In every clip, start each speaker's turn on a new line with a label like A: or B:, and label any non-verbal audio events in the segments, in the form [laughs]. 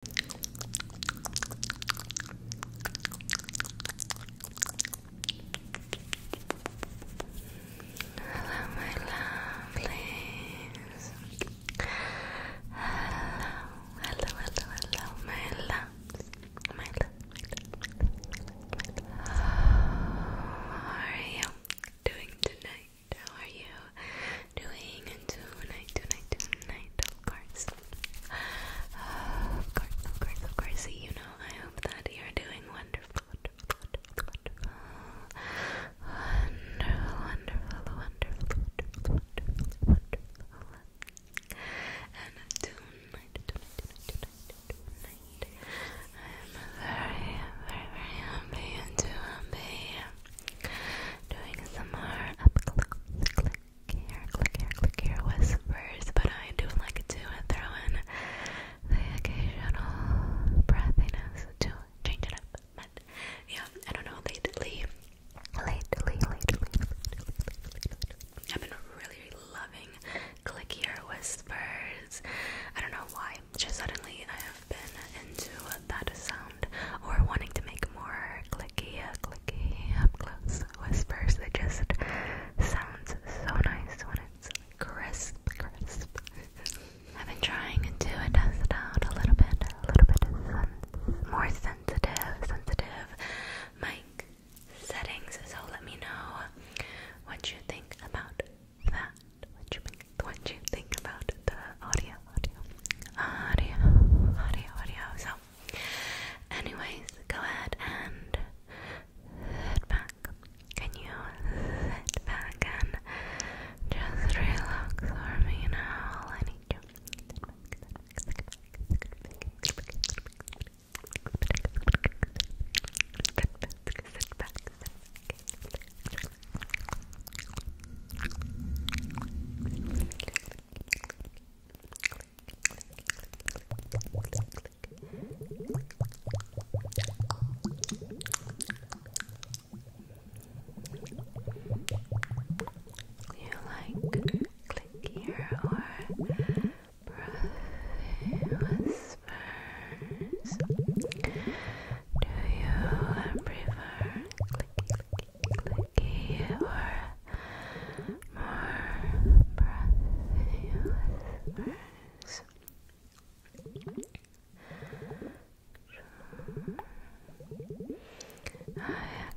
A: Hello, my lovelies. Hello, hello, How are you doing tonight? How are you doing tonight, tonight, tonight, of course. of course, of course, of course. You know, I hope that you're doing wonderful, wonderful, wonderful, wonderful, wonderful, wonderful, wonderful, wonderful, wonderful. And tonight, tonight, tonight, tonight, tonight, I am very, very, very happy and too happy doing some more click here, click here, click here whispers, but I do like to throw in the occasional breathiness to change it up. But yeah, I don't know, lately, lately, lately I've been really loving click here whispers. I don't know why, just suddenly I have been into that sound or wanting to make more clicky, uh, clicky, up close whispers. It just sounds so nice when it's crisp, crisp. [laughs] I've been trying to test it out a little bit, a little bit sen more sensitive, sensitive mic settings. So let me know what you think about that. What you think? What you think about the audio? audio, audio, audio, audio. So, anyways, go ahead and sit back. Can you sit back and just relax for me now? I need you. You like click here or whispers? Do you prefer click, more breathy I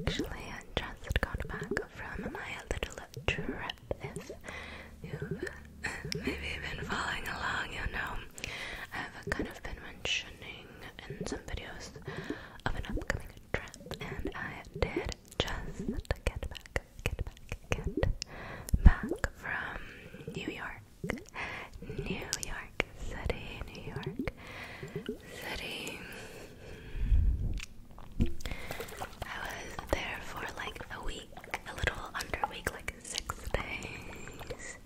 A: actually had just got back from my little trip. If you've maybe been following along, you know, I've kind of been mentioning and some videos of an upcoming trend. and I did just get back, get back, get back from New York, New York City, New York City. I was there for like a week, a little under week, like six days.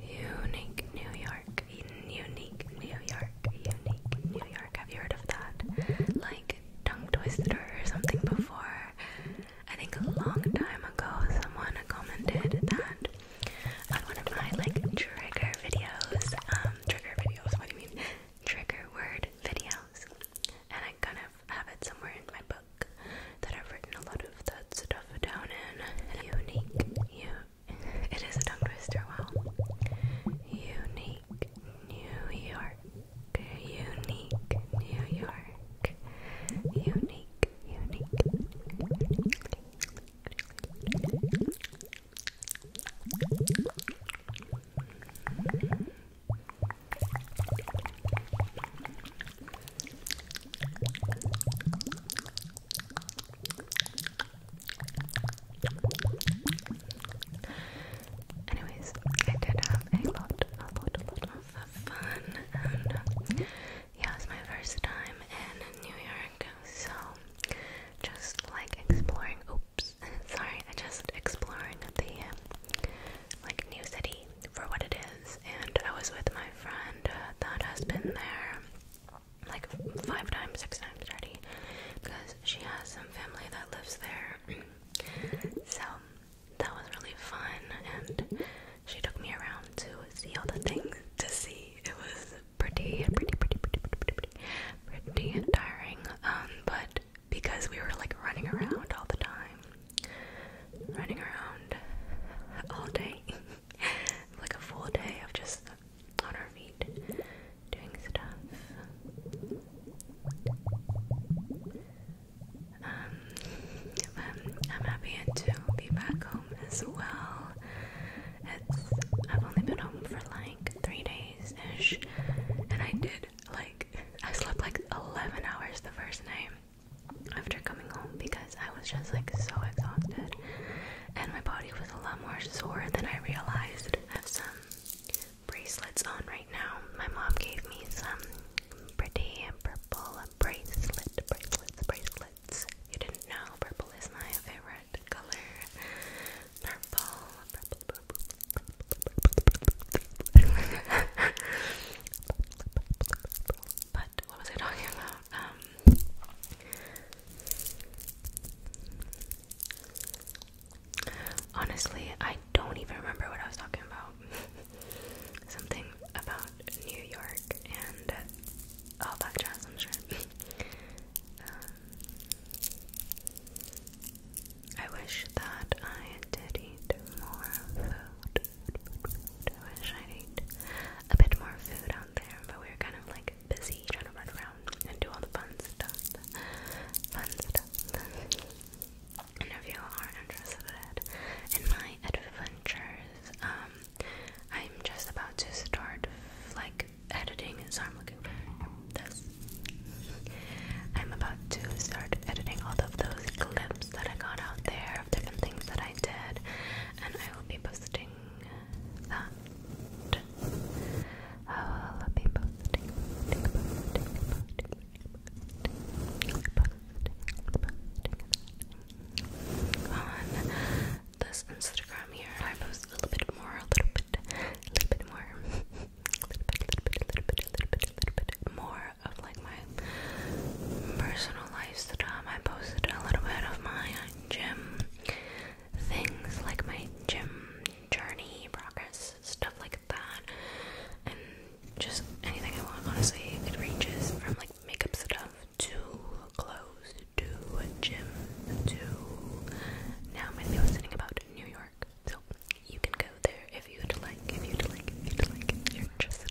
A: Unique New York, unique New York, unique New York. Have you heard of that? Like tongue twister or something before. I think a long time ago someone commented that on one of my like trigger videos. Um, trigger videos, what do you mean? Trigger word videos. And I am gonna have it somewhere in my book that I've written a lot of the stuff down in. Unique, you. It is a tongue twister. Unique, New York. Unique, New York. Unique, unique. Anyways, I did have a lot, a lot, a lot of fun, and um, yeah, it was my first time in New York, so just like exploring. Oops, [laughs] sorry, I just exploring the um, like new city for what it is, and I was with my friend uh, that has been there like five times, six times already, because she has some family that lives there. [clears throat] so that was really fun, and she took me around to see all the things to see. It was pretty, pretty, pretty, pretty, pretty, pretty, pretty tiring. Um, but because we were like running around all the time, running around all day, [laughs] like a full day of just on our feet doing stuff. Um, I'm, I'm happy to be back home as well. It's, I've only been home for like three days ish, and I did like, I slept like 11 hours the first night after coming home because I was just like so exhausted. And my body was a lot more sore than I realized. I have some bracelets on right now. My mom gave me some pretty purple bracelet, bracelets, bracelets. You didn't know purple is my favorite color. Purple, purple, but what was I talking about? Um Honestly, I don't even remember what I was talking about. [laughs] Something about New York and all oh, that [laughs] I wish that I did eat more food. I wish I'd a bit more food out there, but we were kind of like busy trying to run around and do all the fun stuff. Fun stuff. and if you are interested in my adventures, um, I'm just about to start like editing, so i looking for this I'm about to start editing all of those clips that I got out there of different things that I did, and I will be posting that. I will be posting, on this Instagram here. I post a little bit more, a little bit, a little bit more more of like my personal life stuff. I posted a little bit of my gym things, like my gym journey, progress, stuff like that, and just anything I want. Honestly, it ranges from like makeup stuff to clothes to gym to now I'm going about New York. Park. So you can go there if you'd like, if you'd like, if you'd like, if you're interested.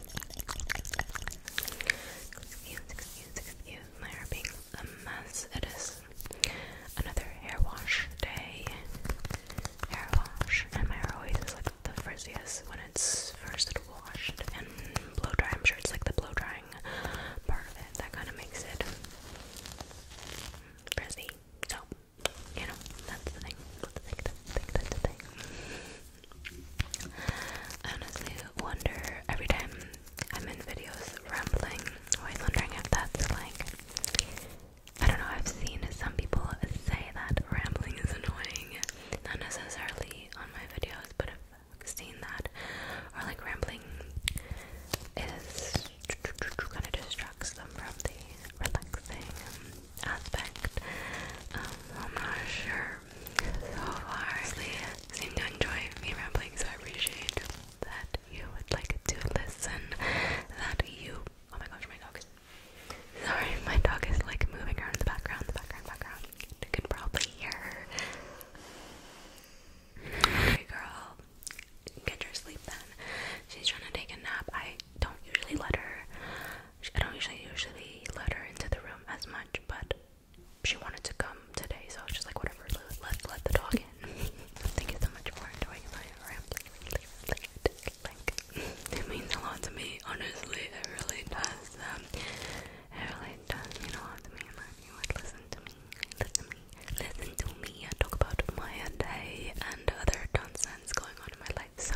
A: Excuse, my hair being a mess. It is another hair wash day. Hair wash, and my hair always is like the frizziest when it's first washed and blow dry. I'm sure it's like the blow drying part of it that kind of makes it frizzy. So, you know, That's the thing. I honestly wonder every time I'm in videos rambling, always wondering if that's like I don't know, I've seen some people say that rambling is annoying. Not necessarily on my videos, but I've seen that. Or like rambling is kind of distracts them from the relaxing aspect. Um, I'm not sure so far. I seem to enjoy me rambling, so I appreciate that you would like to listen. That you. Oh my gosh, my dog Sorry, my dog is like moving around the background, the background, background. You can probably hear her. Hey girl, get your sleep then. She's trying to take a nap. I don't usually let her. I don't usually usually let her into the room as much, but she wanted to come today, so I was just like, whatever, let, let, let the dog in. [laughs] Thank you so much for enjoying my rambling. it means a lot to me, honestly, it really does. Um, it really does mean a lot to me, and you would listen to me, listen to me, listen to me, and talk about my day and other nonsense going on in my life. So,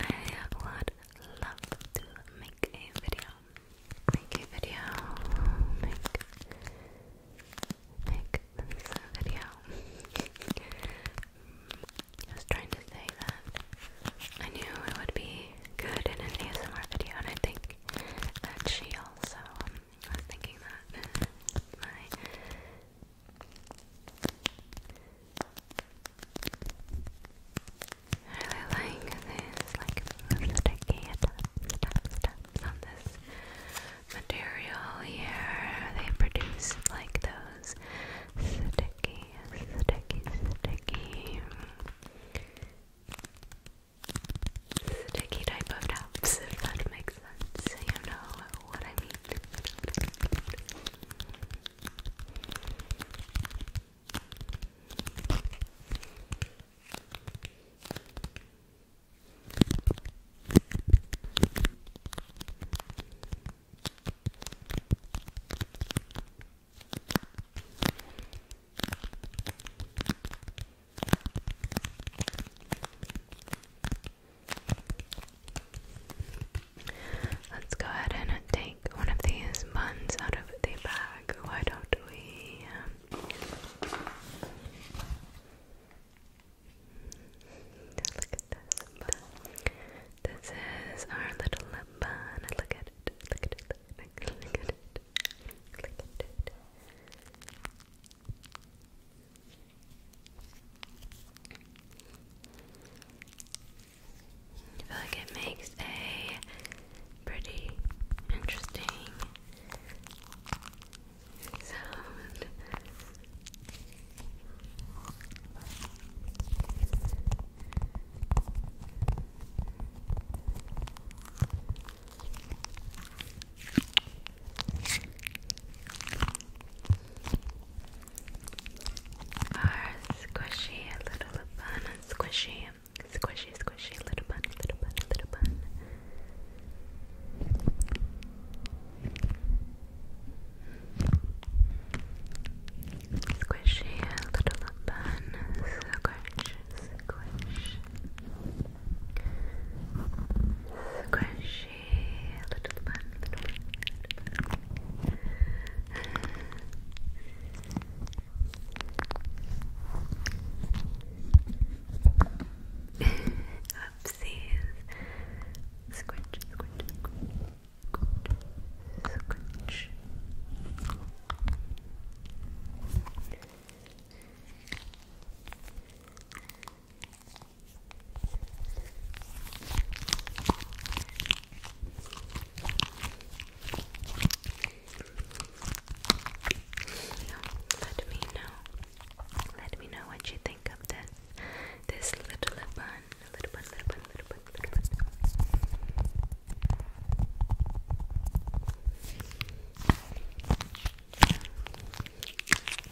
A: I would love to make a video. Make a video. Make make a video. [laughs] I was trying to say that I knew it would be good in an ASMR video, and I think that she also was thinking that really like this, like sticky stuff, on this material here. They produce like those sticky, sticky, sticky, sticky type of taps, that makes so you know what I mean. Let's go ahead and take one of these buns out of the bag. Why don't we? Um, look at this This is our little bun. Look at it. Look at it. Look at it. Look at it. Look at it. I feel like it makes a pretty interesting sound squishy little bun, squishy, squishy, squishy little bun, little bun, little bun. Squishy little bun, squish, squish. Squishy little one, little one, [laughs] Now, let me know. Let me know what you think of this. This little bun, little bun, little bun, little bun, little bun.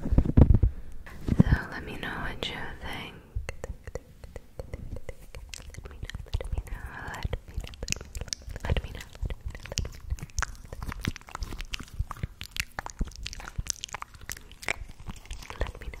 A: So let me know what you think. Let me know, let me know, let me know, let me know, let me know. Let me know, let me know,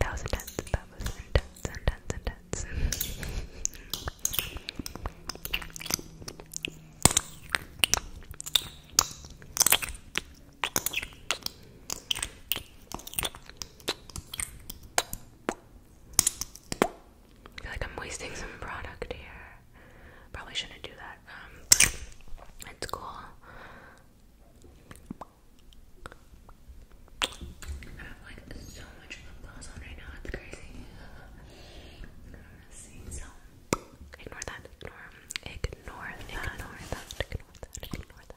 A: That was intense. That was intense, intense, intense. I feel like I'm wasting some product here. Probably shouldn't do that. Um, it's cool. I have ignore that, ignore, ignore that, ignore that, ignore that.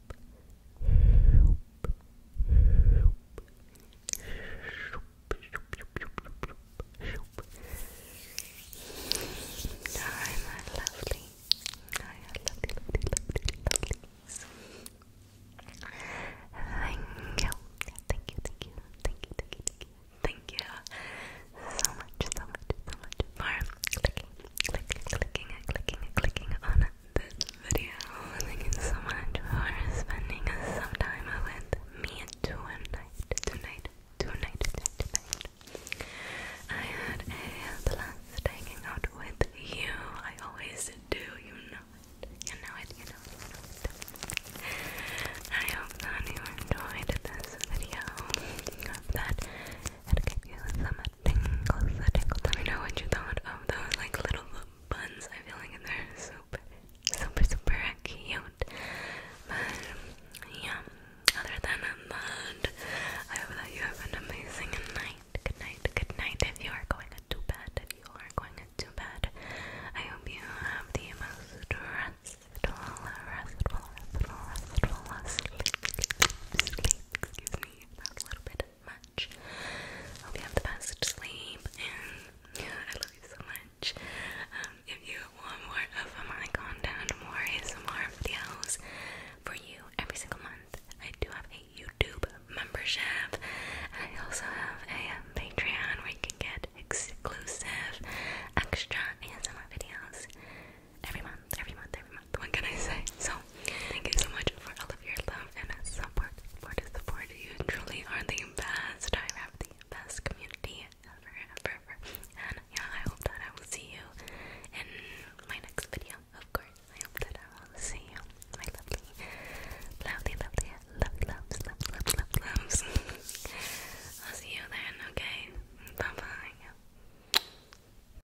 A: Alright, my lovely. I lovely, lovely, lovely, lovelies. Thank you. Thank you, thank you, thank you, thank you, thank you. so much, so much, so much for clicking, clicking, clicking, clicking, clicking on this video. Thank so much for spending some time with me tonight, tonight, tonight, I had a blast hanging out with you. I always do. You know it. You know it. You know it. I hope that you enjoyed this video. I that it gave you some let me know what you thought of those like little buns. I feel like they're super, super, super cute. But yeah, other than that, I hope that you have an amazing night. Good night, good night. If you are going to bed, if you are going to bed, I hope you have the most restful, restful, restful, restful sleep. Sleep, sleep. Excuse me, that was a little bit much. Hope you have the best sleep, and I love you so much. Um, if you want more of my content, more ASMR videos for you every single month, I do have a YouTube membership. I also have a um, Patreon where you can get exclusive, extra ASMR videos every month, every month, every month. What can I say? So, thank you so much for all of your love and support. Support is support. You truly are the best. I have the best community ever, ever, ever. And yeah, I hope that I will see you in my next video. Of course, I hope that I will see you, my lovely, lovely, lovely, lovely, loves, loves, loves, loves, [laughs] I'll see you then. Okay, bye bye.